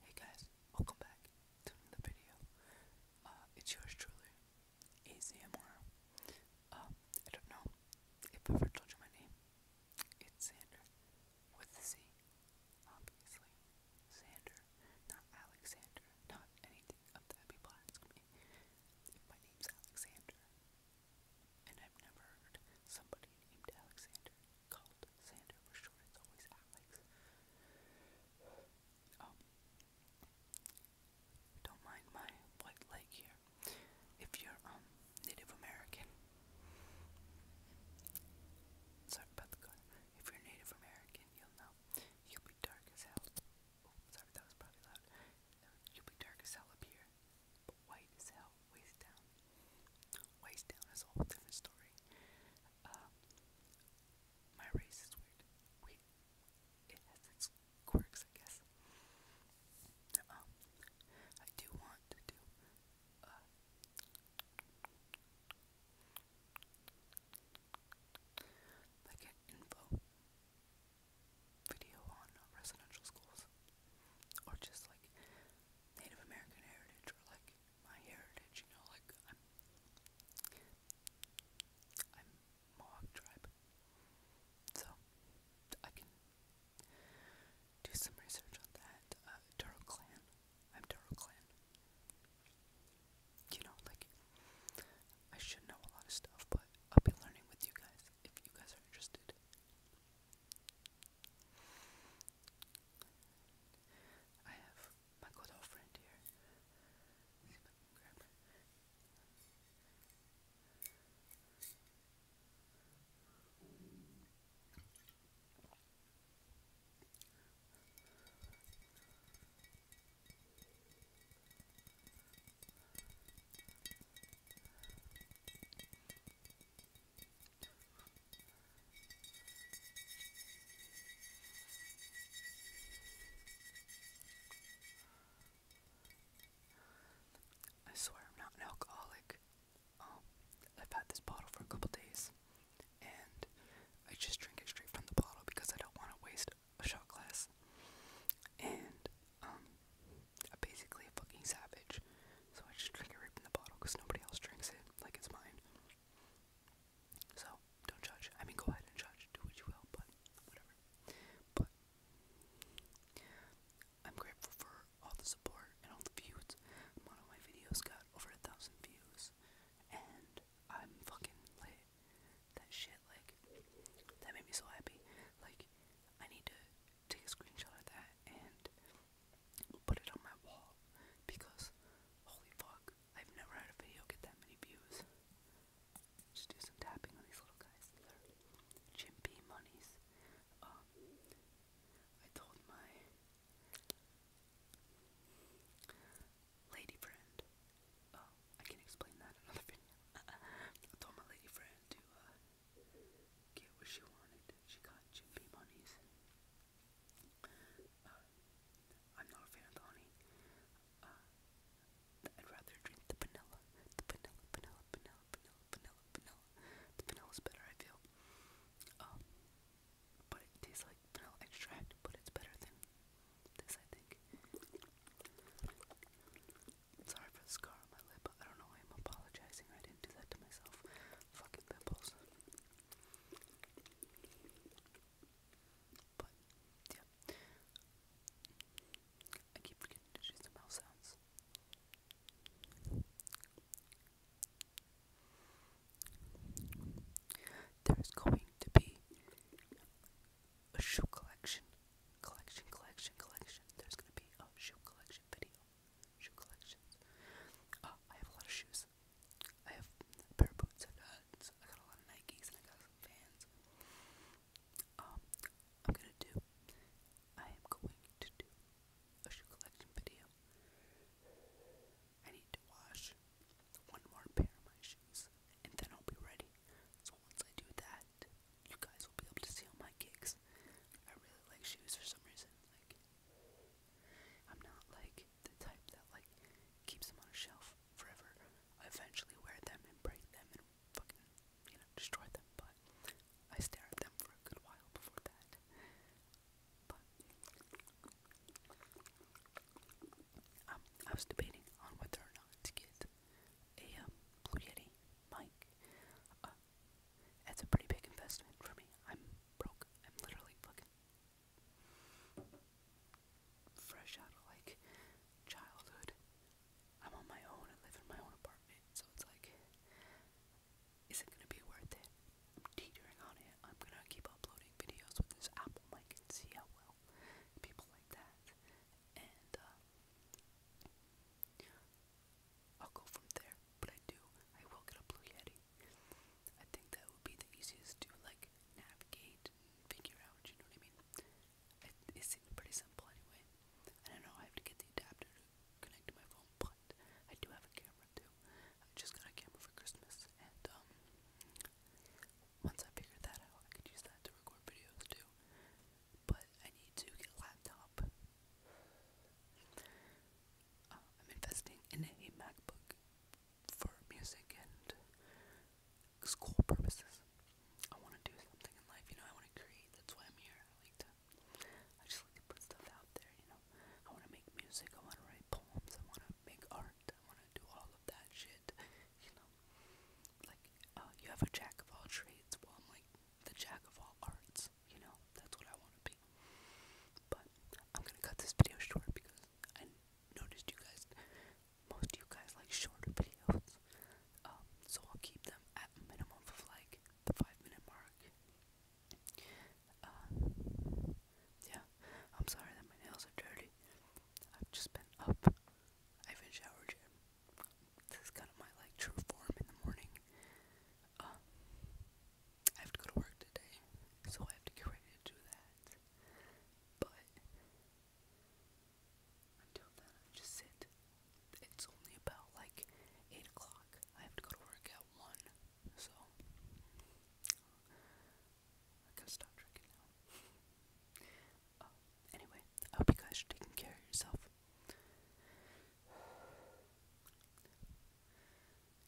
Hey guys, welcome back to another video. Uh, it's yours truly, ASMR. Um, I don't know if i ever told you my name. It's Sander, with a Z, obviously. Sander, not Alexander, not anything of that. People ask me if my name's Alexander, and I've never heard somebody named Alexander call called for short. It's always Alex. Um, don't mind my white leg here. If you're um, Native American, sorry about the color. If you're Native American, you'll know you'll be dark as hell. Oh, sorry, that was probably loud. You'll be dark as hell up here, but white as hell, waist down. Waist down is a whole different story. Um, my race is weird. it has its quirks, I guess. Um, I do want to do, uh, like an info video on residential schools, or just like Native American heritage or like my heritage, you know, like I'm i tribe. So I can do some research on that. Uh, Duro clan. I'm Duro clan. You know, like I should know a lot of stuff, but I'll be learning with you guys if you guys are interested. I have my good old friend here. See if I can grab her. I swear I'm not an alcoholic. Um, I've had this bottle for a couple days, and I just drink it straight from the bottle because I don't want to waste a shot glass. And um, I'm basically a fucking savage. So I just drink it right from the bottle because nobody else drinks it like it's mine. So don't judge. I mean, go ahead and judge. Do what you will, but whatever. But I'm grateful for all the support and all the views. One of my videos got over a thousand views, and I'm fucking lit that shit, like, that made me so happy. Like, I need to take a screenshot of that and put it on my wall because, holy fuck, I've never had a video get that many views. Just do some tapping on these little guys. chimpy monies. Um, I told my lady friend Oh, I can explain that another video. I told my lady friend to uh, get what she wanted. She got Jim Beam honeys. I'm not a fan of the honey. Uh, I'd rather drink the vanilla. The vanilla, vanilla, vanilla, vanilla, vanilla, vanilla. The vanilla's better, I feel. Um, but it tastes like vanilla extract, but it's better than this, I think. Sorry for the scar on my lip. I don't know why I'm apologizing. I didn't do that to myself. Fucking pimples. But, yeah. I keep forgetting to do the mouth sounds. There's going to be a shoe collection, collection, collection, collection. There's gonna be a shoe collection video, shoe collection. Ah, I have a lot of shoes. I have a pair of boots. I got, uh, I got a lot of Nikes and I got some Vans. Um, I'm gonna do. I am going to do a shoe collection video. I need to wash one more pair of my shoes, and then I'll be ready. So once I do that, you guys will be able to see all my gigs. I really like shoes for some reason. Like, I'm not like the type that like keeps them on a shelf forever. eventually wear them and break them and fucking you know destroy them. But I stare at them for a good while before that. Um, I was debating on whether or not to get a um, Blue Yeti mic. Uh, a pretty big investment for me. I'm broke. I'm literally fucking fresh out of like childhood. I'm on my own. I live in my own apartment, so it's like, is it gonna be worth it? I'm teetering on it. I'm gonna keep uploading videos with this Apple mic and see how well people like that. And uh, I'll go from there. But I do, I will get a Blue Yeti. I think that would be the easiest to like navigate and figure out. You know what I mean? It, it pretty simple anyway. I don't know. I have to get the adapter to connect to my phone, but I do have a camera too. I just got a camera for Christmas, and um, once I figured that out, I could use that to record videos too. But I need to get a laptop. Uh, I'm investing in a MacBook for music and school purposes. I want to do something in life, you know. I want to create. That's why I'm here put stuff out there, you know. I want to make music, I want to write poems, I want to make art, I want to do all of that shit, you know. Like, uh, you have a jack of all trades, well, I'm like the jack of all arts, you know. That's what I want to be. But I'm gonna cut this video short because I noticed you guys, most you guys like shorter videos. Um, so I'll keep them at minimum of like the five minute mark. Um, yeah, I'm sorry that my nails are dirty. I've just been up. I have been showered This is kind of my like true form in the morning. Um, I have to go to work today, so I have to get ready to do that. But until then, I just sit it's only about like 8 o'clock. I have to go to work at 1, so I gotta stop drinking now. Oh, anyway, I hope you guys are taking care of yourself.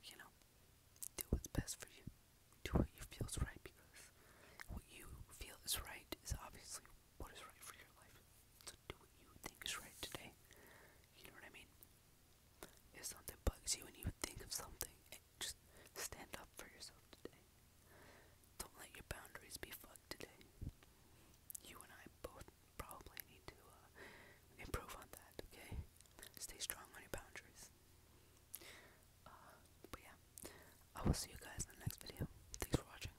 You know, do what's best for you. Do what you feel is right because what you feel is right is obviously what is right for your life do what you think is right today. You know what I mean? If something bugs you and you think of something, just stand up for yourself today. Don't let your boundaries be fucked today. You and I both probably need to uh, improve on that, okay? Stay strong on your boundaries. Uh, but yeah, I will see you guys in the next video. Thanks for watching.